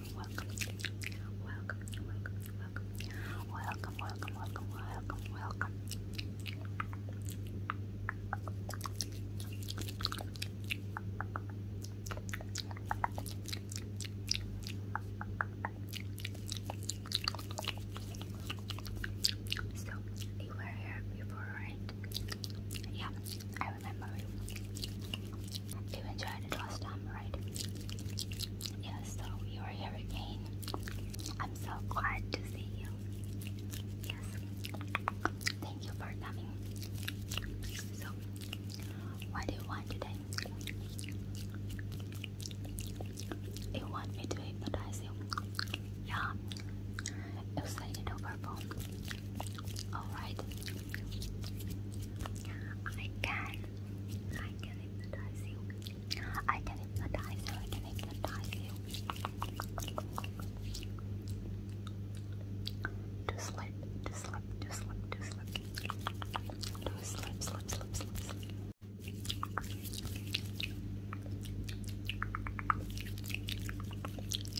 welcome, welcome, welcome, welcome, welcome, welcome, welcome, welcome, welcome, welcome. So you were here before, right? Yeah, I I you enjoyed it last time, right? Yeah, so you're here again. I'm so glad to see you. Yes. Thank you for coming. So, what do you want today? You want me to hypnotize you? Yeah. You over phone. Alright. I can. I can hypnotize you. I can hypnotize you. I can hypnotize you. To slip, to slip, to slip, to slip. To slip, slip, slip, slip.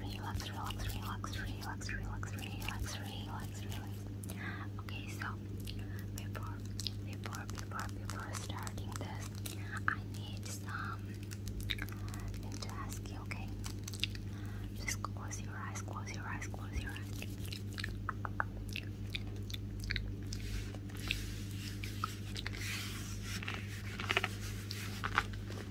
Relax, relax, relax, relax, relax, relax, relax, relax. Okay, so before, before, before, before starting this, I need some. I need to ask you, okay? Just close your eyes, close your eyes, close your eyes. Okay,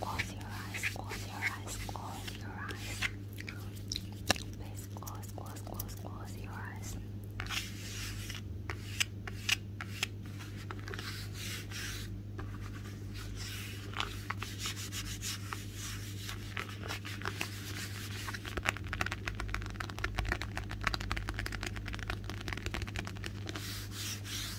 close your eyes, close your eyes, close your eyes. Please close, close, close, close your eyes.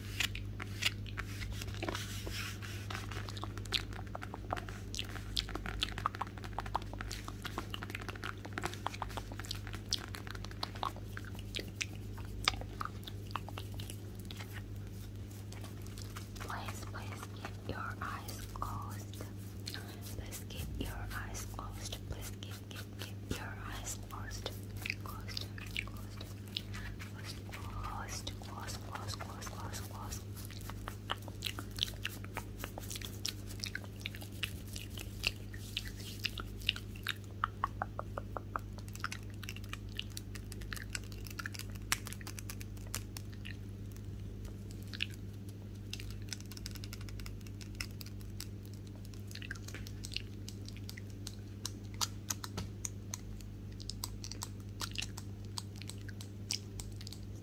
Please, please keep your eyes closed. Please keep your eyes closed. Please keep, keep, keep your eyes closed. Closed, closed. Gloss, gloss, gloss, gloss, gloss, gloss.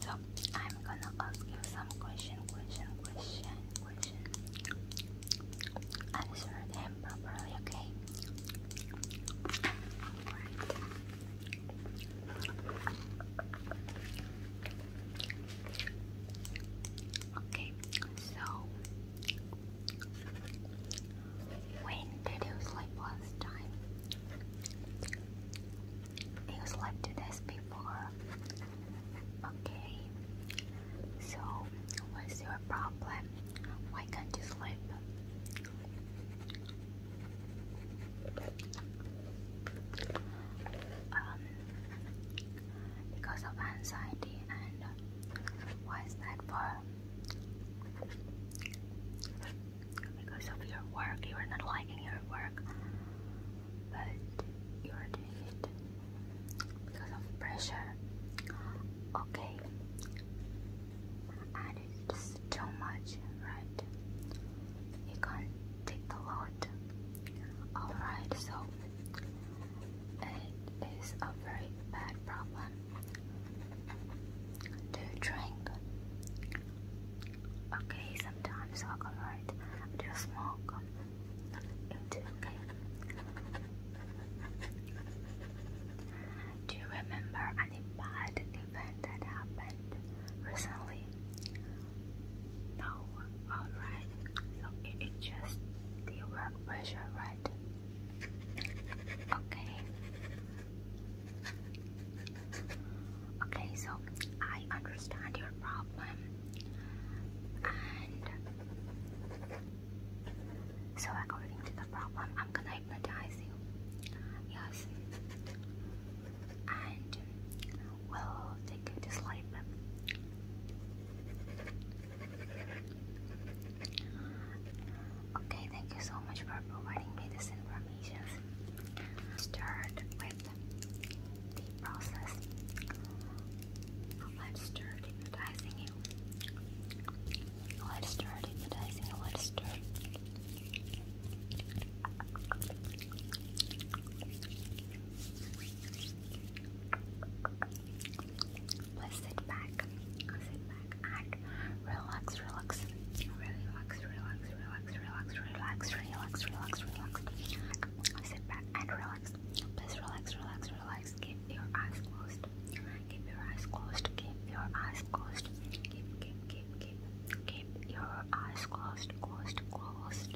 So I'm gonna ask you some question, question, question, question. Answer them properly, okay? Okay, so when did you sleep last time? You slept two before. Okay. So, what's your problem? Why can't you sleep? Um, because of anxiety and why is that for? Because of your work, you're not liking your work, but you're doing it because of pressure. Okay, and it's too much, right? You can't take the load. Alright, so it is a very bad problem. Do you drink? Okay, sometimes alright. Do you smoke? You do, okay. Do you remember any bad event that happened recently? No, alright. So it is just the work pressure, right? Okay. Okay, so I understand your problem. And so according to the problem, I'm gonna hypnotize you. Yes. And we'll take you to Okay, thank you so much for providing me this information. Start with the process let's start hypnotizing you let's start hypnotizing Let's sit back, sit back and relax, relax, relax, relax, relax, relax, relax, relax, relax, relax. Sit back and relax. Please relax, relax, relax. Keep your eyes closed. Keep your eyes closed. Keep your eyes closed. Keep, keep, keep, keep, keep your eyes closed, closed, closed.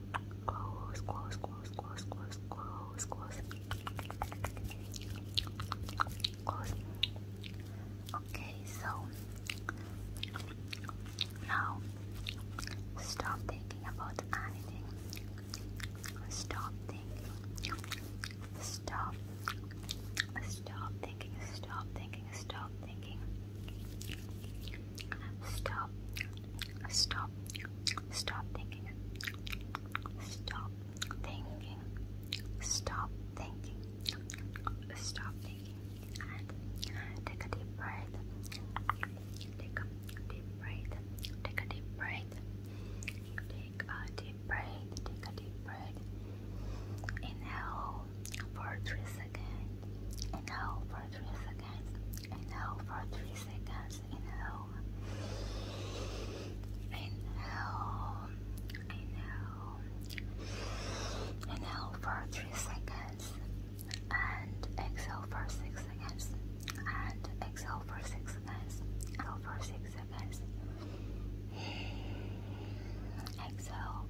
Close, close, close, close, close, close, close. Close. Okay, so now stop thinking about anything. Stop thinking. Stop. Stop thinking. Stop thinking. Stop thinking. Stop. Stop. Stop thinking. Stop thinking. Stop thinking. Stop thinking. And take a deep breath. Take a deep breath. Take a deep breath. Take a deep breath. Take a deep breath. Inhale for three seconds. Inhale for three seconds. Inhale for three seconds. Inhale. Inhale. Inhale. Inhale for three seconds. And exhale for six seconds. And exhale for six seconds. Exhale for six seconds. Exhale.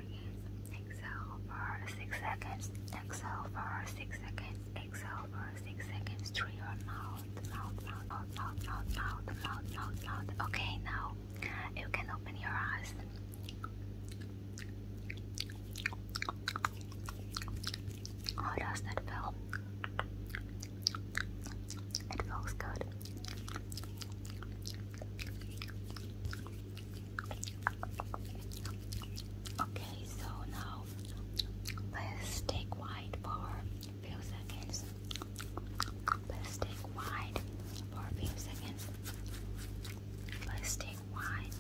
Exhale for 6 seconds. Exhale for 6 seconds. Exhale for 6 seconds through your mouth. Mouth, mouth, mouth, mouth, mouth, mouth, mouth, mouth, Okay, now you can open your eyes. How does that feel? It feels good. Okay, so now let's take wide for a few seconds. Let's take wide for few seconds. Let's take wide.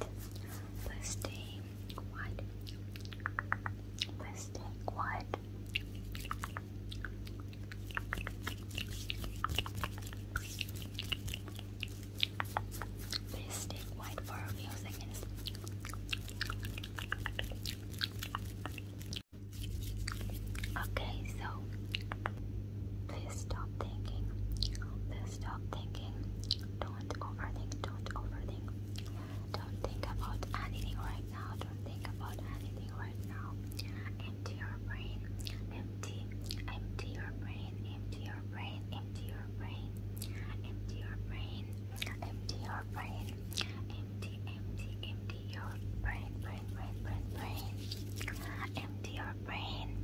Let's take wide. Let's take white. Mystic White for music Okay, so please stop thinking. Please stop thinking. Don't overthink. Don't overthink. Don't think about anything right now. Don't think about anything right now empty your brain, empty, empty your brain, empty your brain, empty your brain, empty your brain, empty your brain, empty, empty, empty your brain, brain, brain, brain, brain, empty your brain.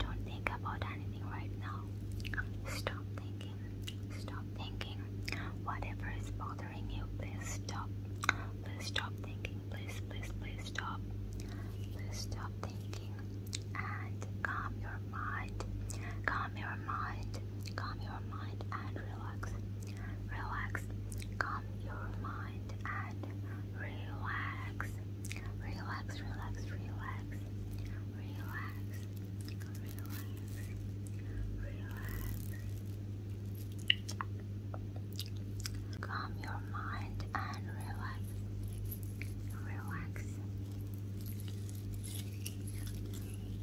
Don't think about anything right now. Stop thinking, stop thinking. Whatever is bothering you, please stop, please stop thinking please, please, please stop. Please stop thinking and calm your mind. Calm your mind. Calm your mind and relax. Relax. Calm your mind and relax. Relax, relax, relax. Relax. Relax. Relax. Calm your mind and relax. Relax.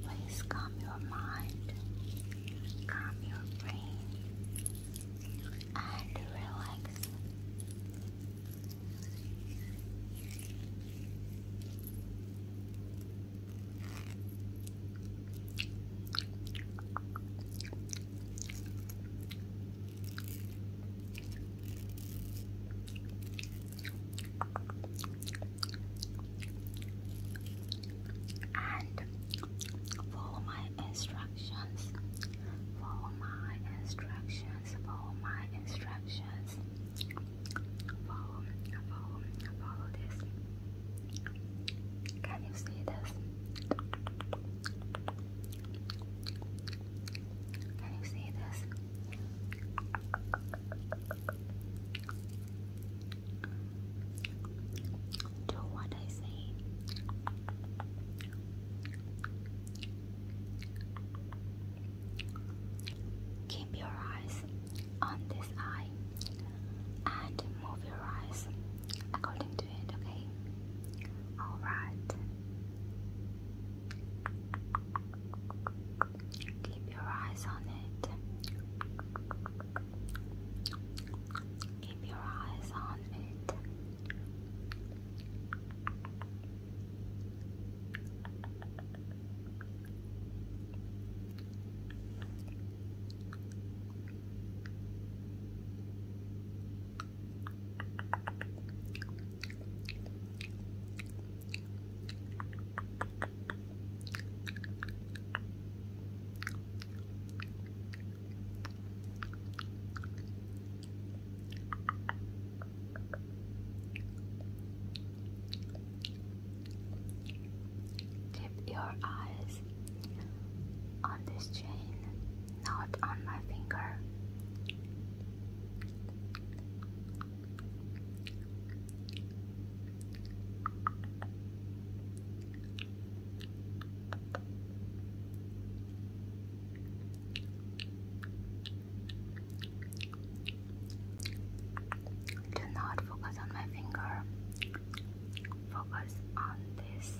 Please calm your mind, calm your brain, and relax and follow my instructions. Follow my instructions. Follow my instructions. Follow, follow, follow this. Can you see this? Can you see this? Do what I say. Keep your eyes on this eye and move your eyes according to okay? Alright. Keep your eyes on it. Keep your eyes on it. Keep your eyes on this chain not on my finger. Do not focus on my finger, focus on this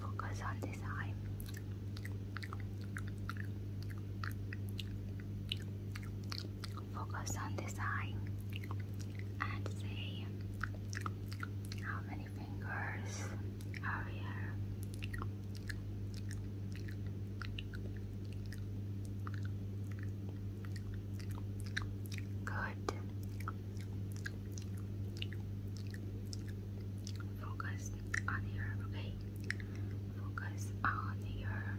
Focus on this eye focus on this eye and say how many fingers are here. Good. Focus on your okay. Focus on your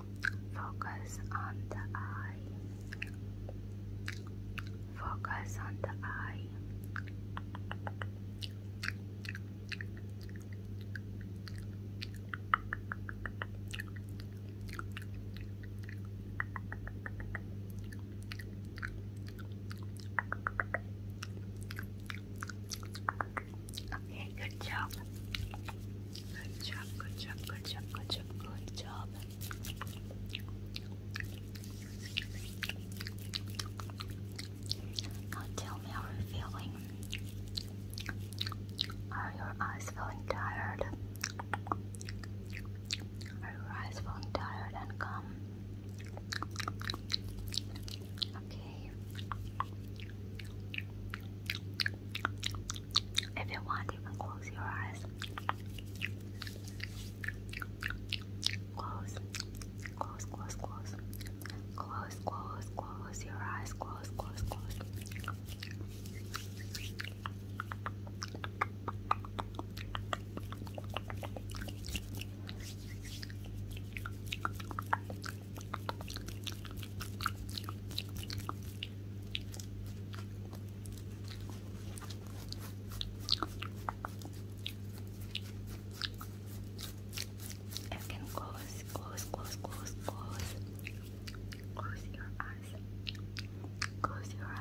Focus on the eye. Focus on the eye. Okay, good job. Good job, good job, good job, good job, Now tell me how you're feeling. Are your eyes feeling tired? Are your eyes feeling tired and calm? Okay. If you want, you can close your eyes. Close, close, close, close. Close, close, close your eyes. Close, close, close. I can close, close, close, close, close. Close your eyes. Close your eyes.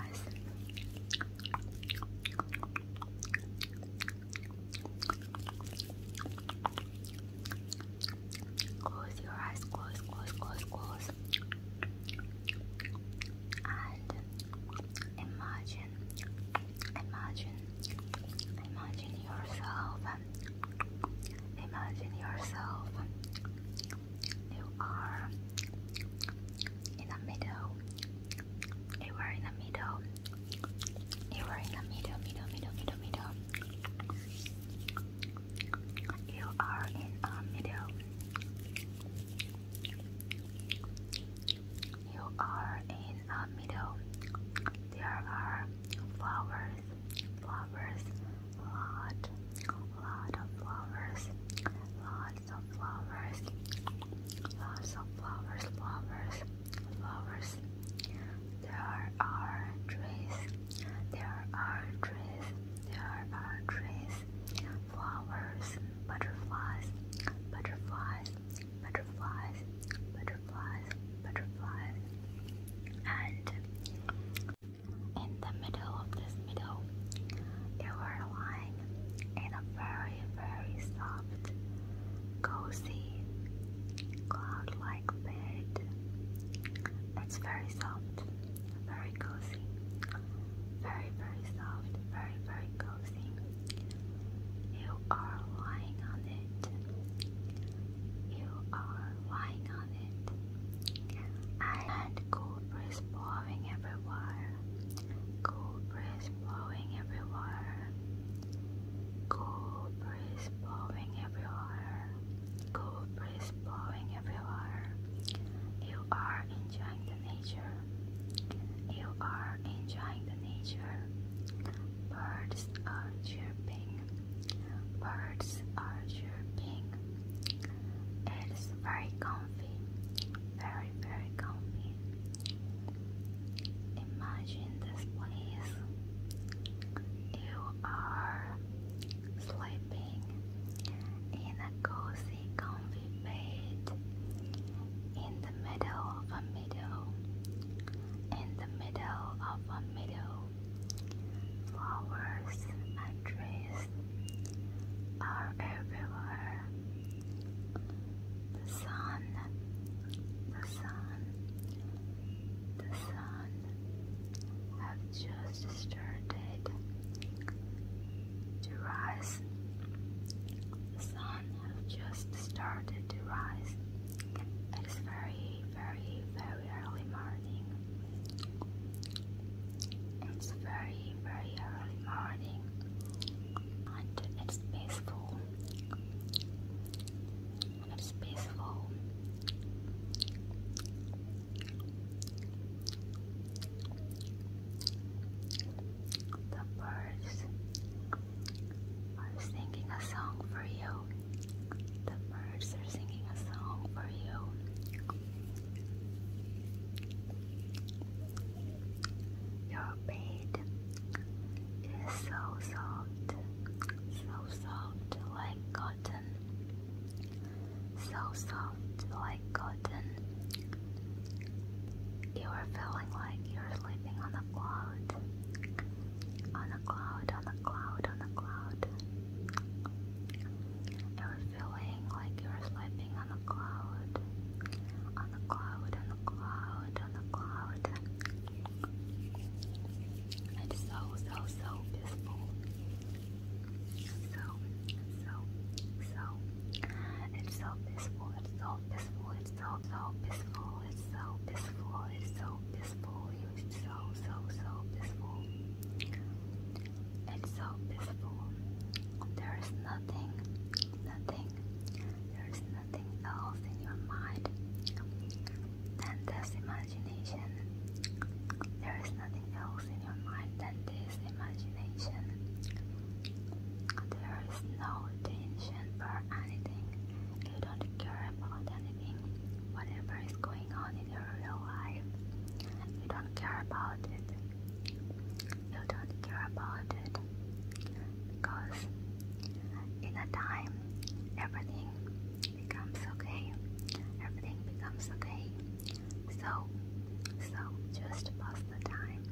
Close your eyes, close, close, close, close. And imagine, imagine, imagine yourself. Imagine yourself. You are in the middle. You are in the middle. You are in the middle, middle, middle, middle, middle. You are in a middle. You are in a middle. There are flowers, flowers, lot, lot of flowers, lots of flowers, lots of flowers, flowers flowers. There are trees. There are trees. There are trees. Flowers, butterflies, butterflies, butterflies, butterflies, butterflies. And in the middle of this meadow, they were lying in a very, very soft cozy cloud-like bed. It's very soft, very cozy, very very soft, very very cozy. You are lying on it. You are lying on it. I cool breeze blowing everywhere. Cool breeze blowing everywhere. Cool breeze blowing everywhere. Cool breeze blowing everywhere. You are enjoying the nature. You are enjoying the nature. Birds are chirping. Birds are chirping. It's very comfy. Very, very comfy. Imagine this place. You are sleeping in a cozy, comfy bed in the middle of a meadow, in the middle of a meadow. Flowers and trees are everywhere. The sun, the sun the sun have just started to rise. The sun have just started to rise. It is very, very, very early morning. It's very, very early morning, and it's peaceful. It's peaceful. The birds are singing a song for you. The birds are singing a song for you. Your bed is so soft, so soft like cotton, so soft like cotton. You are feeling like you're sleeping on the cloud, on a cloud, on a cloud, on a cloud. You're feeling like you're sleeping on a cloud, on a cloud, on a cloud, on a cloud. It's so, so, so peaceful. So, so, so. It's so peaceful. It's so peaceful. It's so, so peaceful. It's so peaceful. It's so peaceful. It's so, so, so peaceful. It's so peaceful. There is nothing, nothing. There is nothing else in your mind than this imagination. There is nothing else in your mind than this imagination. There is no tension for anything. You don't care about anything. Whatever is going on in your real life, you don't care about it. You don't care about it because in a time everything becomes okay everything becomes okay so so just pass the time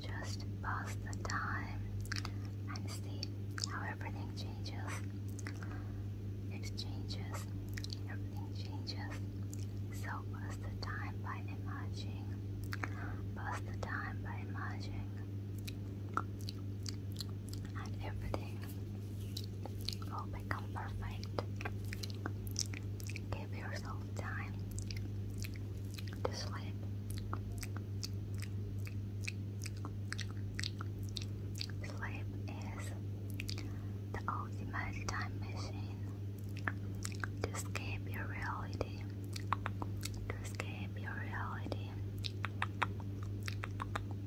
just pass the time and see how everything changes it changes everything changes so pass the time by emerging pass the time by emerging and everything will become perfect. Give yourself time to sleep. Sleep is the ultimate time machine to escape reality to escape your reality,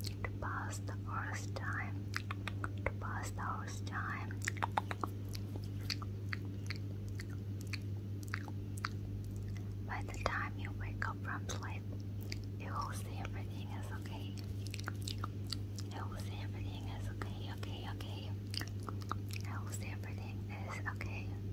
to pass the hours time, to pass the hours time. By the time you wake up from sleep, you will see everything is okay. You will see everything is okay, okay, okay. I will see everything is okay.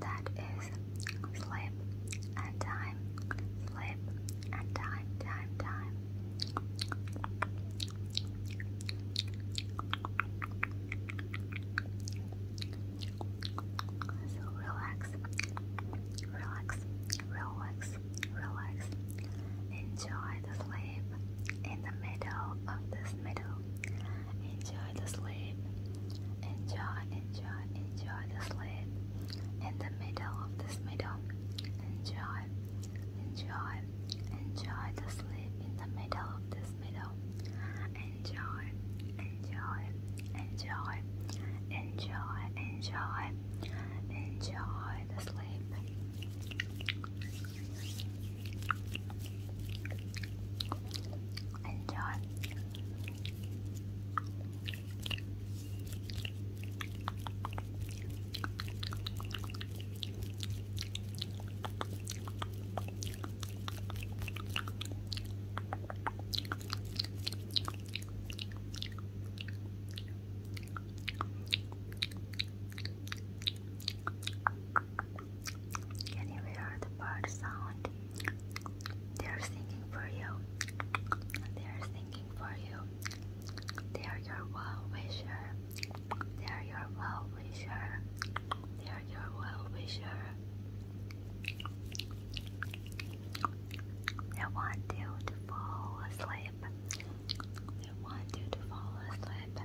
That is slip and time, slip and time, time, time. So relax, relax, relax, relax. Enjoy the sleep in the middle of this middle enjoy the sleep. Enjoy, enjoy, enjoy the sleep. In the middle of this middle, enjoy, enjoy, enjoy the sleep in the middle of this middle. Enjoy, enjoy, enjoy, enjoy, enjoy, enjoy the sleep and John. Can you hear the bird sound? They're singing for you. They're singing for you. They are your well wisher. They are your well wisher. They are your well wisher. They want you to fall asleep. They want you to fall asleep.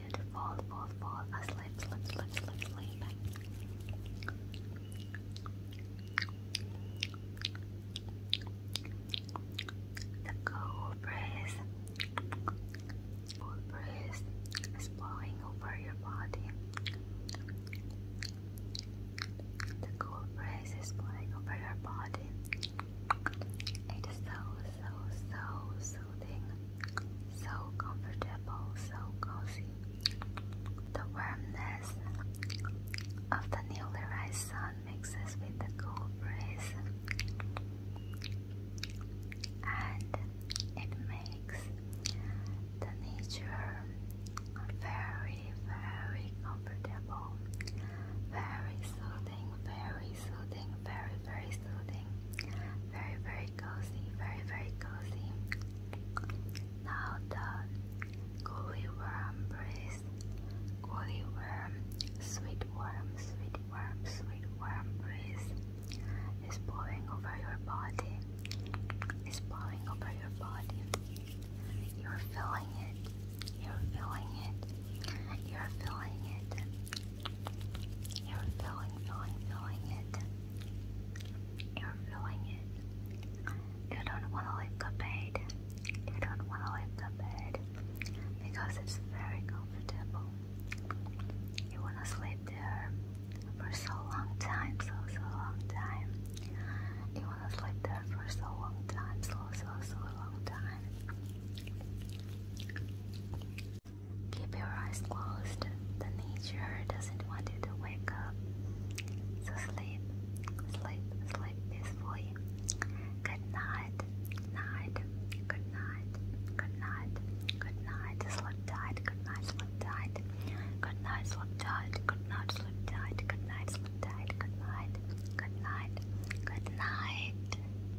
continue fall, fall, fall asleep, sleep, sleep, sleep, sleep. The cool breeze, cool breeze is blowing over your body. The cool breeze is blowing over your body. It is so, so, so, so so comfortable, so cozy. The warmness of the newly rising sun mixes with the cool breeze and it makes the nature very, very comfortable, very soothing, very soothing, very very, very soothing. Very, very cozy. Very, very cozy. Now the gooey worm breeze. Gooey worm, sweet worm, sweet worm, sweet worm breeze is blowing over your body. It's blowing over your body. You're feeling it. You're feeling it. You're feeling it. You're feeling, feeling, feeling it. You're feeling it. You don't want to leave the bed. You don't want to leave the bed because it's very comfortable. You want to sleep there for so long time, so, so long time. You want to sleep there for so long time, so, so, so long time. Keep your eyes closed. The nature doesn't want you to wake up. So sleep, sleep, sleep peacefully. Good night, night, good night, good night, good night. Sleep tight, good night, sleep tight. Good night, sleep tight, good night, sleep tight. Good night, sleep tight, good night, good night, good night.